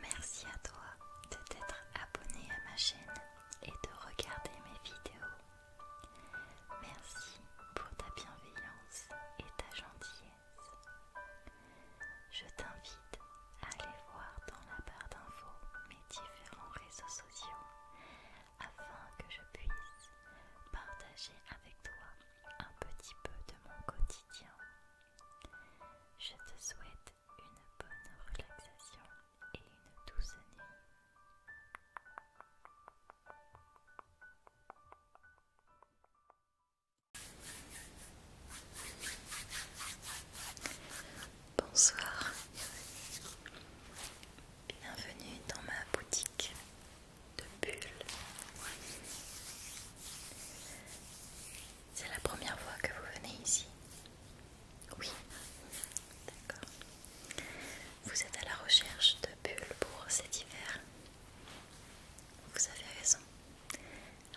Merci à toi de t'être abonné à ma chaîne et de regarder mes vidéos. Merci pour ta bienveillance et ta gentillesse. Je t'invite à aller voir dans la barre d'infos mes différents réseaux sociaux afin que je puisse partager avec toi un petit peu de mon quotidien je te souhaite une bonne relaxation et une douce année. Bonsoir, bienvenue dans ma boutique de bulles. C'est la première fois que vous venez ici Oui. D'accord. Vous êtes à la recherche de bulles pour cet hiver Vous avez raison.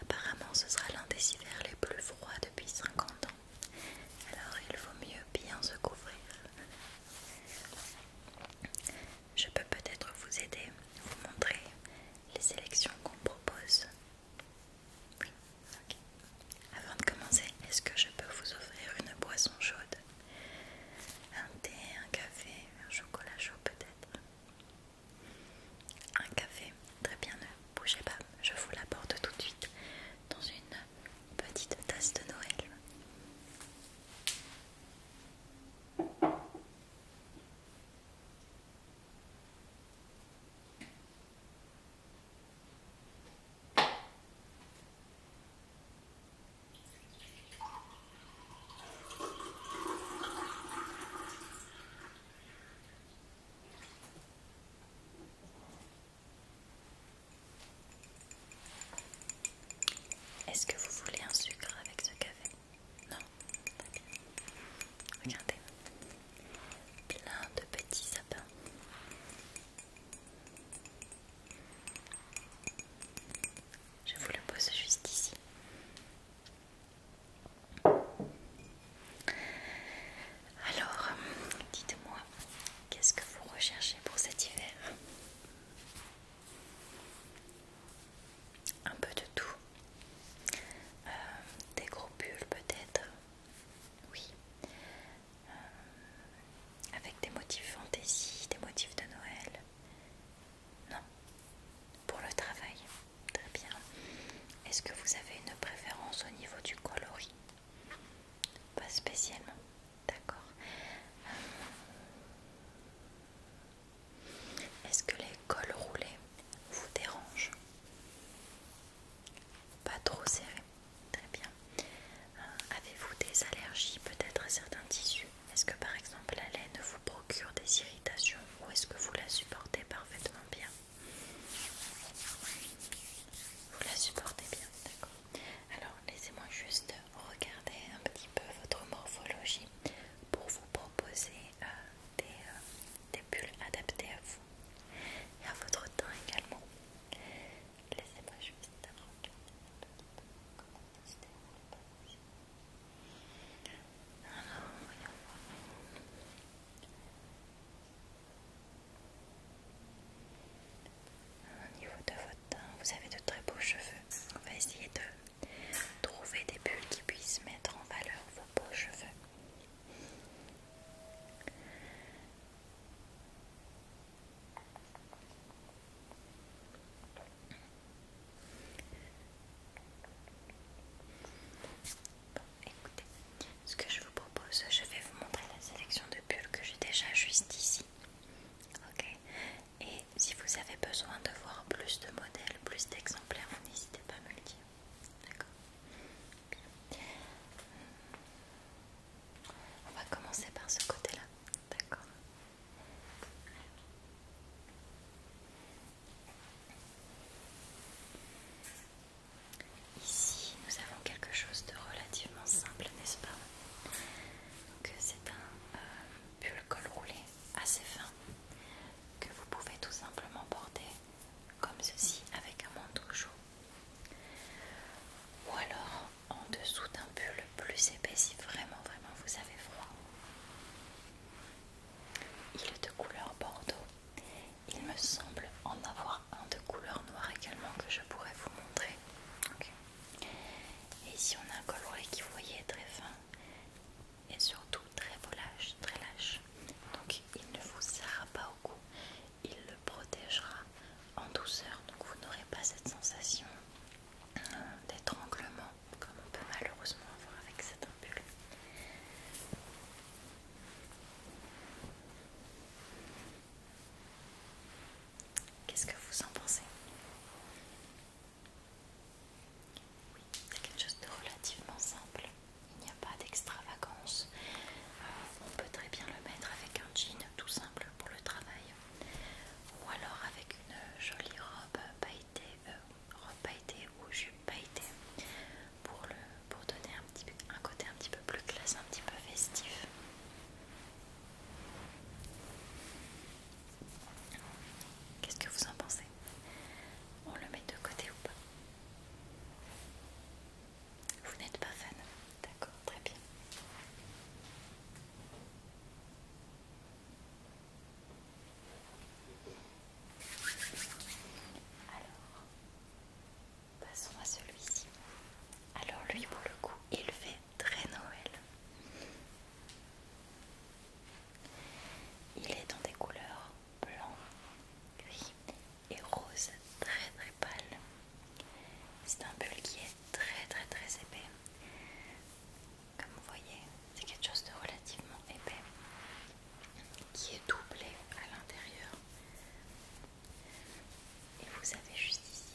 Apparemment, ce sera l'un des hivers les plus froids depuis 50 ans. Alors, il vaut mieux bien se couvrir. Je peux peut-être vous aider, vous montrer les sélections qu'on propose. Avant de commencer, est-ce que je peux vous offrir une boisson chaude Un thé, un café, un chocolat chaud peut-être Un café, très bien, ne bougez pas, je vous l'apporte tout de suite dans une petite tasse de Noël. Est-ce que vous voulez un sucre avec ce café non Regardez. Plein de petits sapins. Je vous le pose juste ici. Alors, dites-moi, qu'est-ce que vous recherchez pour cet hiver un peu de tout. Euh, des gros bulles peut-être, oui. Euh, avec des motifs fantaisie, des motifs de Noël. Non. Pour le travail, très bien. Est-ce que vous avez une préférence au niveau du coloris Pas spécialement, d'accord. Euh, est-ce que les cols roulés vous dérangent Pas trop serré, très bien. Euh, avez-vous des allergies peut-être à certains tissus Est-ce que par exemple la laine vous procure des irritations ou est-ce que vous la supportez parfaitement bien Vous la supportez bien, d'accord. Alors laissez-moi juste regarder un petit peu votre morphologie pour vous proposer euh, euh, des, bulles adaptées à vous et à votre teint également. Laissez-moi juste regarder voyons Au niveau de votre teint, vous avez de très beaux cheveux. On va essayer de Trouver des bulles qui puissent mettre en valeur vos beaux cheveux. Bon, écoutez, ce que je vous propose, je vais vous montrer la sélection de bulles que j'ai déjà juste ici. Ok, et si vous avez besoin de voir plus de modèles, plus d'exemplaires, n'hésitez pas à me le dire. D'accord On va commencer par ce côté-là. D'accord Ici, nous avons quelque chose de relativement simple, n'est-ce pas Donc euh, c'est un pull euh, col roulé assez fin que vous pouvez tout simplement porter comme ceci avec un manteau chaud ou alors en dessous d'un pull plus épais si vraiment vraiment vous avez froid. Il est de couleur bordeaux. Il me semble en avoir un de couleur noire également que je pourrais vous montrer. Et ici on a un coloré qui vous voyez très fin et surtout très lâche, très lâche. Donc il ne vous serra pas au cou, il le protégera en douceur. Donc vous n'aurez pas cette sensation euh, d'étranglement comme on peut malheureusement avoir avec cet ampoule. Qu'est-ce que vous en pensez oui, c'est quelque chose de relativement simple. Il n'y a pas d'extravagance. Euh, on peut très bien le mettre avec un jean tout simple pour le travail. Ou alors avec une jolie robe pailletée, euh, robe ou jupe pailletée pour, donner un côté un petit peu plus classe, un petit peu festif. Qu'est-ce que vous en pensez On le met de côté ou pas Vous n'êtes pas fan D'accord, très bien. Alors, passons à celui-ci. Alors lui, pour le coup, il fait très Noël. Il est dans des couleurs blanc, gris et rose très très pâle. C'est un bulbe qui est très très très épais. Comme vous voyez, c'est quelque chose de relativement épais qui est doublé à l'intérieur. Et vous avez juste ici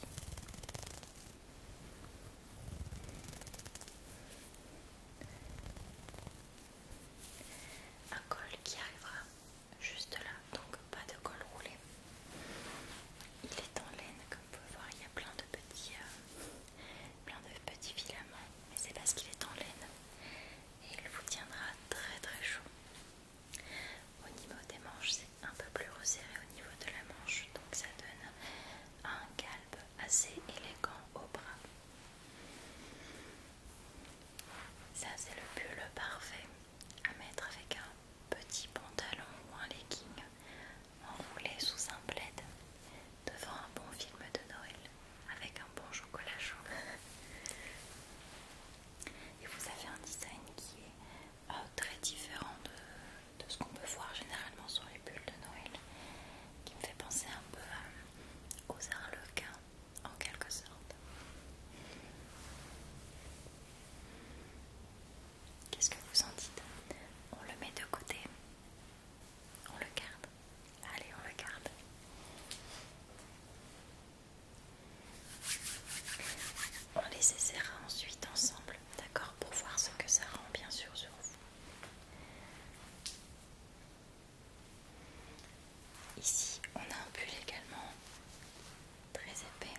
un col qui arrivera juste là, donc pas de col roulé. Il est en laine, comme vous pouvez voir, il y a plein de petits, euh, plein de petits filaments, mais c'est parce qu'il est en laine et il vous tiendra très très chaud. Au niveau des manches, c'est un peu plus resserré au niveau de la manche, donc ça donne un calbe assez élégant au bras. Ça c'est le pull parfait à mettre avec un petit pantalon ou un legging enroulé sous un plaid devant un bon film de Noël avec un bon chocolat chaud. Et vous avez un design qui est euh, très différent de de ce qu'on peut voir généralement sur les bulles de Noël qui me fait penser un peu euh, aux arlequins en quelque sorte. Qu'est-ce que vous en dites On le met de côté On le garde Allez, on le garde on les essaiera ensuite ensemble, d'accord Pour voir ce que ça rend bien sûr sur vous. Ici, on a un pull également très épais.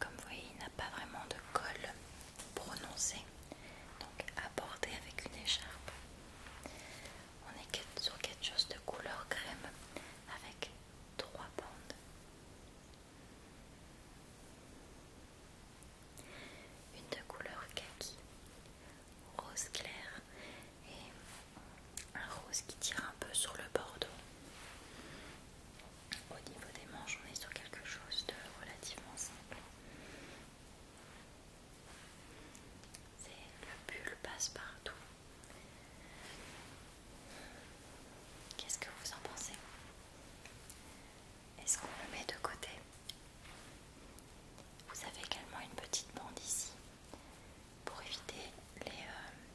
Comme vous voyez, il n'a pas vraiment de colle prononcé, donc abordé avec une écharpe. On est sur quelque chose de couleur crème avec trois bandes. Une de couleur kaki, rose clair et un rose qui tire un peu sur le bordeaux. Au niveau des manches, on est sur quelque chose de relativement simple. Le pull passe partout. Qu'est-ce que vous en pensez est-ce qu'on le met de côté Vous avez également une petite bande ici pour éviter euh,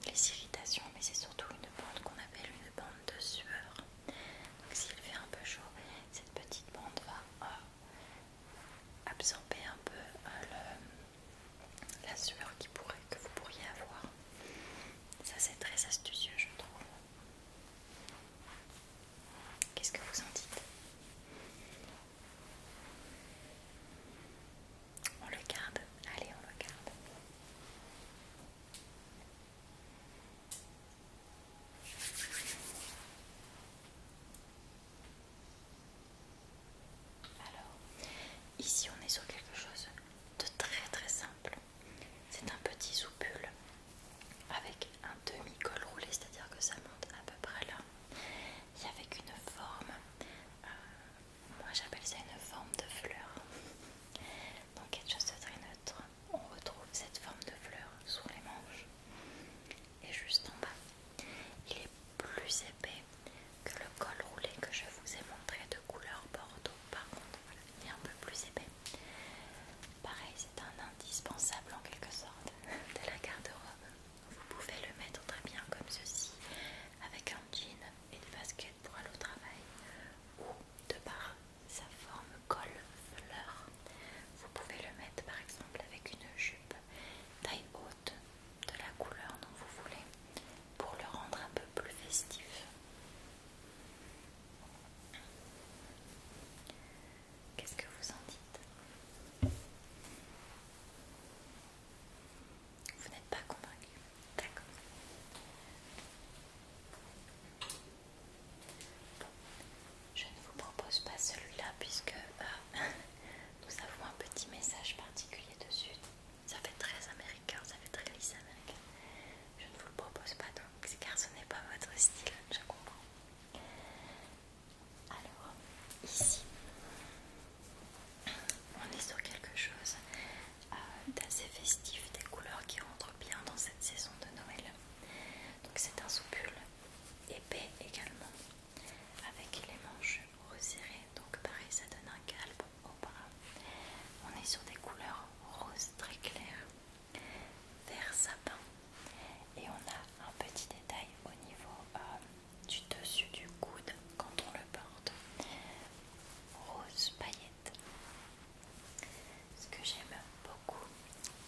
les, irritations, mais c'est surtout une bande qu'on appelle une bande de sueur. Donc s'il fait un peu chaud, cette petite bande va euh, absorber un peu euh, le, la sueur que vous pourriez avoir. Ça c'est très astucieux je trouve. Qu'est-ce que vous en dites On le garde, allez, on le garde. Alors, ici on est sur quelque chose de très très simple. C'est un petit soupule avec un demi-col roulé, c'est-à-dire que ça monte à peu près là. Il avec une forme, euh, moi j'appelle ça une forme de fleur. Donc quelque chose de très neutre. On retrouve cette forme de fleur sous les manches et juste en bas. Il est plus épais que le col roulé que je vous ai montré de couleur bordeaux. Par contre, il est un peu plus épais. Pareil, c'est un indispensable en quelque sorte de la garde-robe. Vous pouvez le mettre très bien comme ceci, avec un jean et une basket pour aller au travail, ou de par sa forme col fleur. Vous pouvez le mettre par exemple avec une jupe taille haute de la couleur dont vous voulez pour le rendre un peu plus festif. Qu'est-ce que vous en dites Vous n'êtes pas convaincu D'accord. je ne vous propose pas celui-là puisque euh, nous avons un petit message particulier dessus. Ça fait très américain, ça fait très lisse américain je ne vous le propose pas donc car ce n'est pas votre style, je comprends. Alors, ici, on est sur quelque chose euh, d'assez festif, des couleurs qui rentrent bien dans cette saison de Noël. Donc c'est un soupul épais également, avec les manches resserrées, donc pareil ça donne un calme bras On est sur des couleurs roses très claires, vert sapin et on a un petit détail au niveau euh, du dessus du coude quand on le porte, rose paillette. Ce que j'aime beaucoup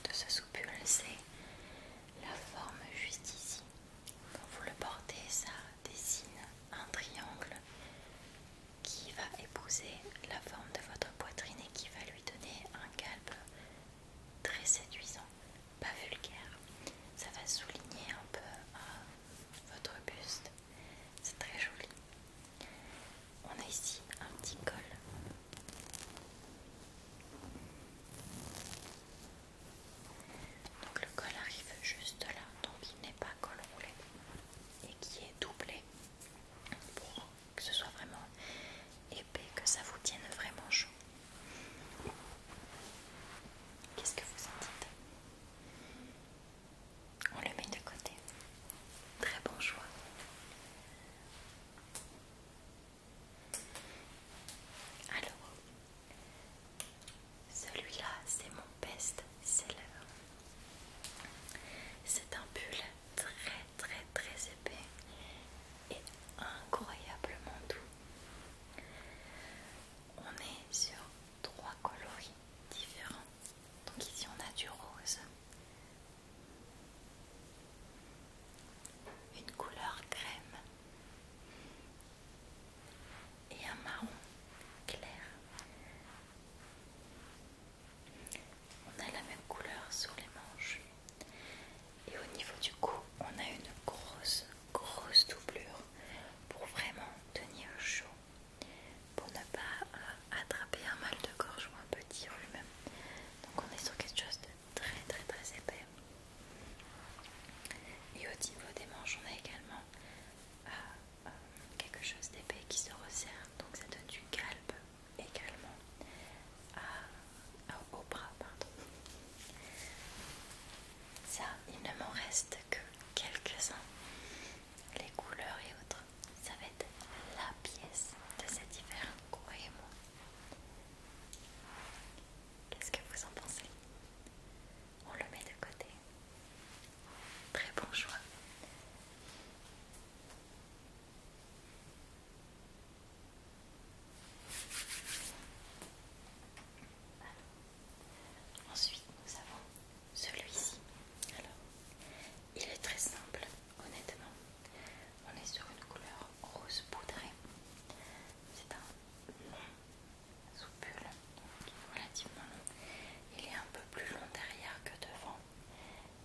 de ce soupule, c'est la forme juste ici. Quand vous le portez, ça dessine un triangle qui va épouser la forme de votre poitrine et qui va lui donner un calpe très séduisant, pas vulgaire. Ça va souligner un peu euh, votre buste. C'est très joli. On a ici un petit col. Donc le col arrive juste là, donc il n'est pas et qui est doublé pour que ce soit vraiment épais, que ça vous tienne vraiment chaud. Qu'est-ce que vous en dites On le met de côté. Très bon choix. Alors, celui-là, c'est mon best-seller. C'est un pull très très très épais et incroyablement doux. On est sur trois coloris différents. Donc ici on a du rose, une couleur crème et un marron clair on a la même couleur sur les manches. Et au niveau du cou, on a une grosse, grosse doublure pour vraiment tenir chaud, pour ne pas euh, attraper un mal de gorge ou un petit rhume. Donc on est sur quelque chose de très très très épais. Et au niveau des manches, on a également euh, quelque chose d'épais qui se resserre, donc ça donne du calme également au bras. Pardon. Ça, il ne m'en reste que quelques-uns. Les couleurs et autres, ça va être la pièce de cet hiver, croyez-moi. Qu'est-ce que vous en pensez on le met de côté. Très bon choix. Ensuite, nous avons celui-ci. il est très simple, honnêtement. On est sur une couleur rose poudrée. C'est un sous il est relativement long. Il est un peu plus long derrière que devant.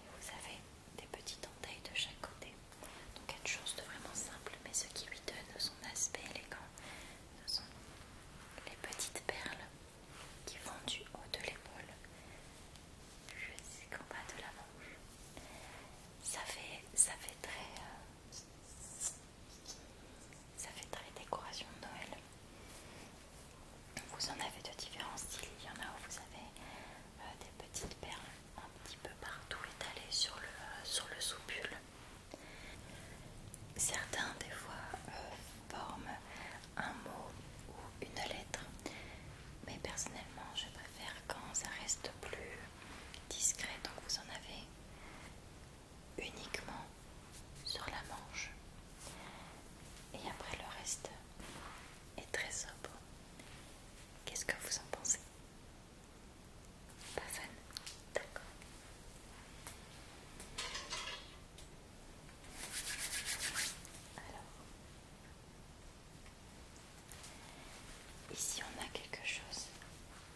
Et vous avez des petites entailles de chaque côté. Donc quelque chose de vraiment simple, mais ce qui lui donne son aspect élégant, ce sont les petites perles qui vont du haut de l'épaule jusqu'en bas de la manche. Ça fait, ça fait très... Euh, ça fait très décoration de Noël. Vous en avez de différents styles, il y en a où vous avez euh, des petites perles un petit peu partout étalées sur le, sur le soupule. Certains des fois euh, forment un mot ou une lettre, mais personnellement je préfère quand ça reste plus discret, donc vous en avez uniquement sur la manche et après le reste est très sobre. Qu'est-ce que vous en pensez Pas fan D'accord. Alors, ici on a quelque chose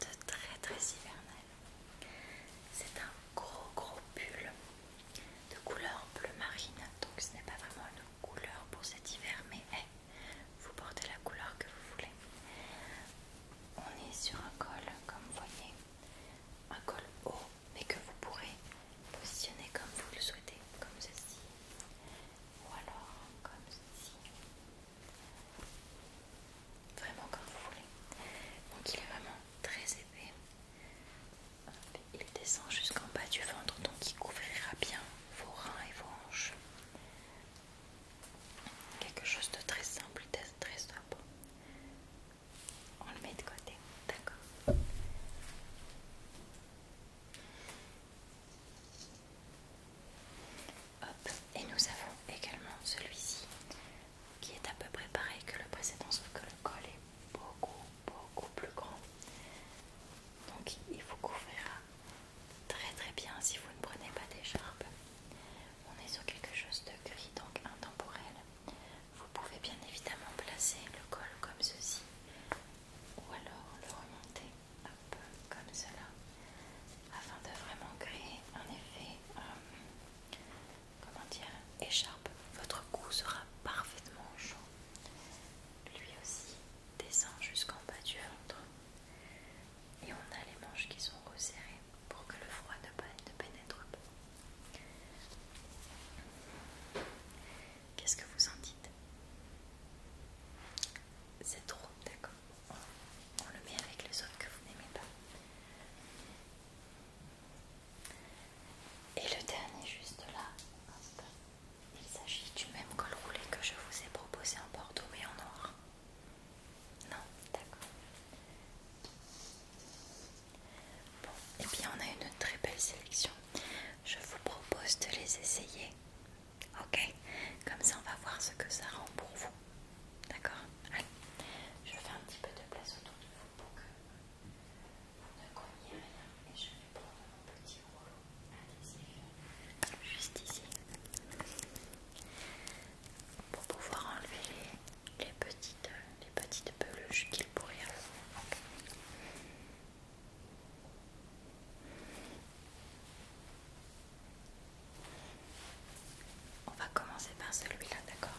de très très hivernal. C'est un gros gros pull de couleur bleu marine, donc ce n'est pas vraiment une couleur pour cet hiver, mais vous portez la couleur que vous voulez. On est sur un col, comme vous voyez, un col haut, mais que vous pourrez positionner comme vous le souhaitez, comme ceci, ou alors comme ceci vraiment comme vous voulez. Donc il est vraiment très épais. Il descend jusqu'en bas du ventre, donc il couvrira bien vos reins et vos hanches. Quelque chose de très simple, très sobre. On le met de côté, d'accord Hop, et nous avons également celui-ci qui est à peu près pareil que le précédent, sauf que le col est beaucoup, beaucoup plus grand. Donc il vous couvrira très très bien si vous ne prenez pas d'écharpe. On est sur quelque chose de gris, donc intemporel. Vous pouvez bien évidemment placer le col comme ceci, ou alors le remonter un peu comme cela, afin de vraiment créer un effet euh, comment dire, écharpe, votre cou sera parfaitement chaud. Lui aussi descend jusqu'en bas du ventre. Et on a les manches qui sont resserrées pour que le froid ne, pénètre pas. Qu'est-ce que vous en dites C'est trop, d'accord. On le met avec les autres que vous n'aimez pas. Et le dernier juste là, il s'agit du même col roulé que je vous ai proposé en bordeaux mais en noir. Non, d'accord. Bon, et eh bien on a une très belle sélection. Je vous propose de les essayer. Ok, comme ça on va voir ce que ça rend pour vous. D'accord Allez, je fais un petit peu de place autour de vous pour que vous ne rien. Et je vais prendre mon petit rouleau adhésif juste ici pour pouvoir enlever les, petites, les petites peluches qu'il pourrait y on va commencer par celui-là, d'accord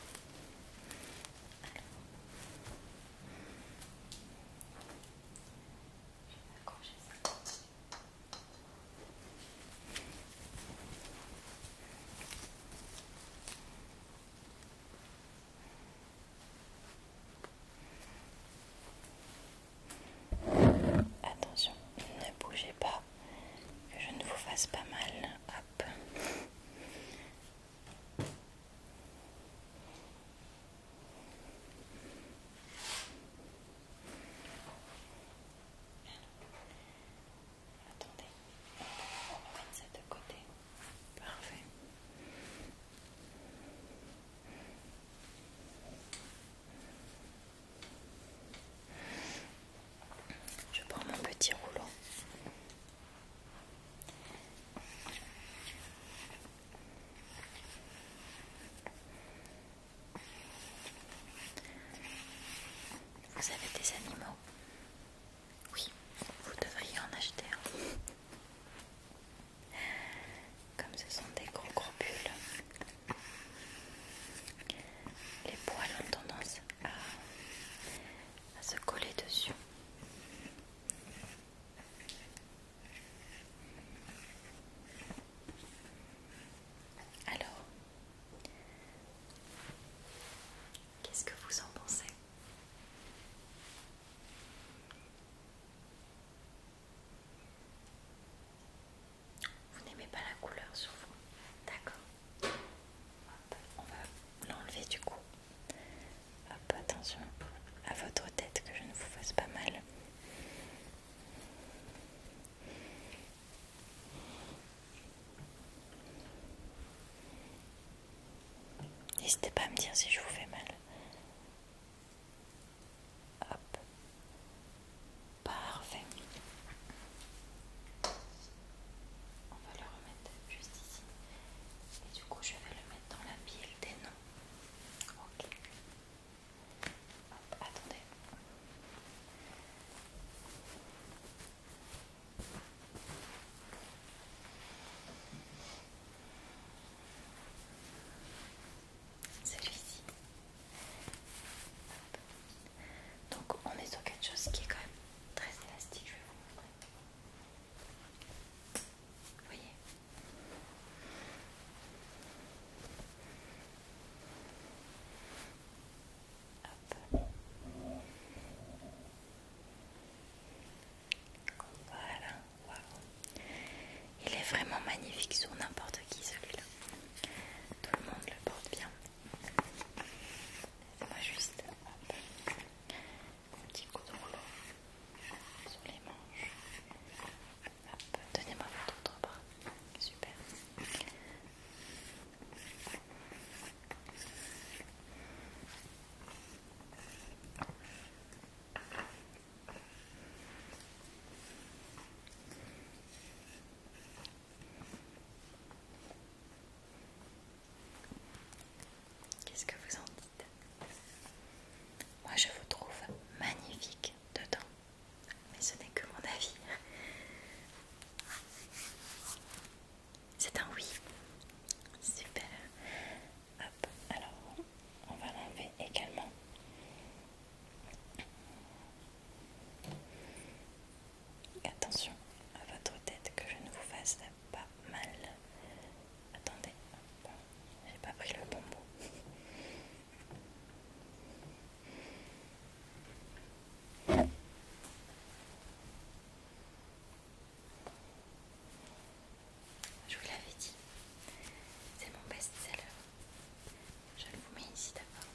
Attention, ne bougez pas, que je ne vous fasse pas mal ah, Attendez, on va mettre de côté. Parfait. Je prends mon petit rouleau. Vous avez des animaux Oui, vous devriez en acheter un. Comme ce sont des gros gros les poils ont tendance à, se coller dessus. Alors, qu'est-ce que vous en pensez vous n'aimez pas la couleur sur vous D'accord. On va l'enlever du coup. Hop, attention à votre tête que je ne vous fasse pas mal. N'hésitez pas à me dire si je vous fais mal. Hop. Parfait. On va le remettre juste ici. Et du coup, je vais le mettre dans la pile des noms. Ok. attendez. Celui-ci. Donc on est sur quelque chose qui est quand même très élastique, je vais vous montrer. Vous voyez Voilà, Il est vraiment magnifique sur n'importe qui celui-là. Tout le monde le porte bien. Laissez-moi juste un petit coup de rouleau sur les manches. tenez donnez-moi votre autre bras. Super. Qu'est-ce que vous en dites Moi je vous trouve magnifique dedans, mais ce n'est que mon avis. C'est un oui. Super. Hop, alors on va l'enlever également. Attention à votre tête que je ne vous fasse pas mal. Attendez, j'ai pas pris le bon Je vous l'avais dit, c'est mon best-seller. Je le vous mets ici d'abord.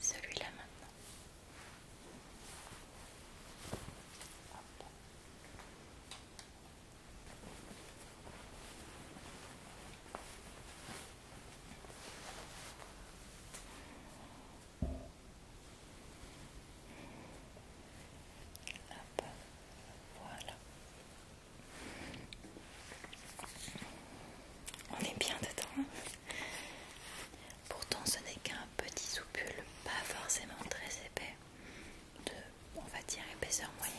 Celui-là maintenant. Voilà. On est bien dedans. Hein. Pourtant, ce n'est qu'un petit soupule, pas forcément très épais, de, on va dire, épaisseur moyenne.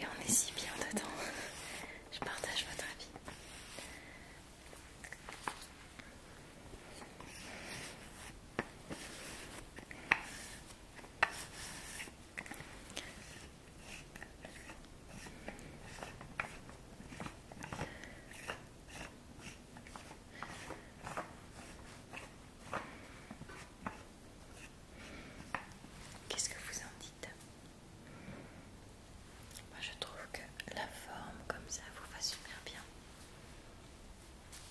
Et on est si bien dedans. Je partage votre avis. Qu'est-ce que vous en dites moi je trouve que la forme comme ça vous va super bien.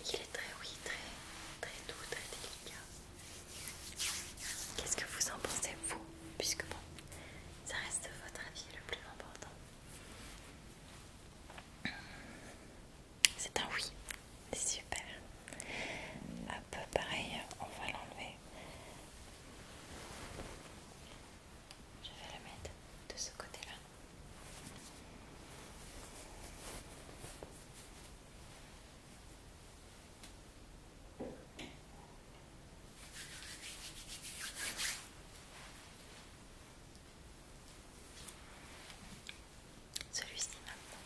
Il est très oui, très, très doux, très délicat. Qu'est-ce que vous en pensez vous Puisque bon, ça reste votre avis le plus important. C'est un oui, c'est super. Un peu pareil, on va l'enlever. Je vais le mettre de ce côté-là. Celui-ci maintenant.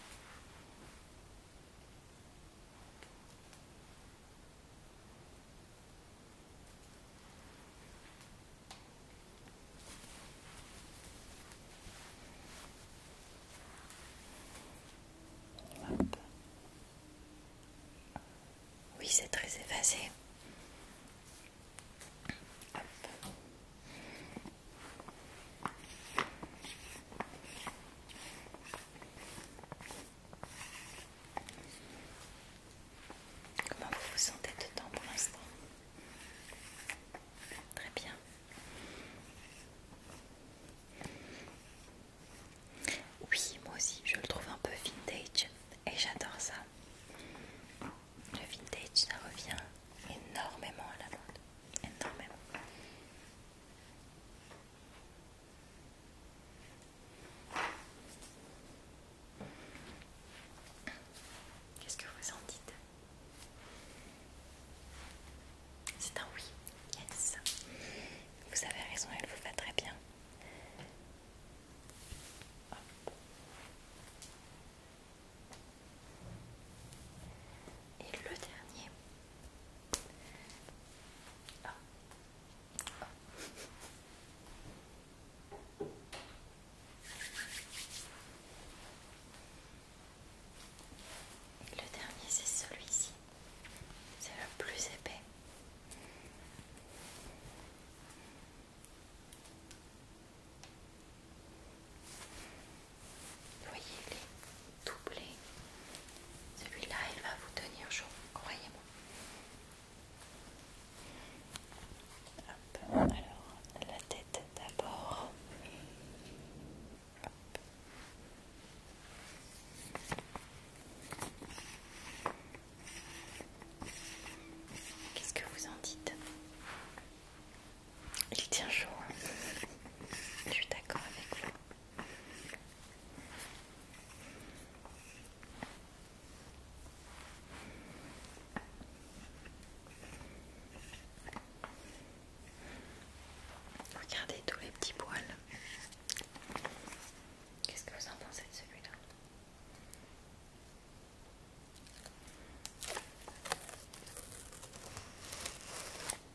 Oui, c'est très effacé. Comment vous vous sentez dedans pour l'instant Très bien. Oui, moi aussi, je le trouve un peu vintage et j'adore ça. Le vintage, ça revient énormément à la mode. Énormément. Qu'est-ce que vous en dites C'est un oui, yes. Vous avez raison, elle vous va très bien. Et le dernier. Le dernier, c'est celui-ci. C'est le plus épais. Vous voyez, il est doublé. Celui-là, il va vous tenir chaud, croyez-moi. Alors, la tête d'abord. Qu'est-ce que vous en dites Il tient chaud. Hein. Je suis d'accord avec vous. Regardez tous les petits poils. Qu'est-ce que vous en pensez de celui-là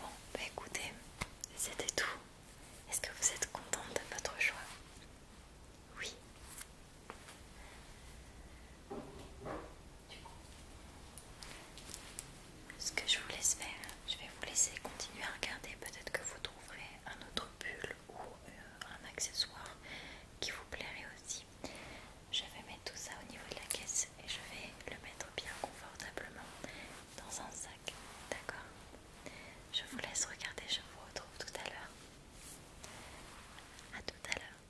Bon, bah écoutez, c'était tout. Est-ce que vous êtes contente de votre choix Oui. Ce que je vous laisse faire, je vais vous laisser continuer à regarder. Peut-être que vous trouverez un autre pull ou euh, un accessoire qui vous plairait aussi. Je vais mettre tout ça au niveau de la caisse et je vais le mettre bien confortablement dans un sac. D'accord Je vous laisse regarder, je vous retrouve tout à l'heure. A tout à l'heure.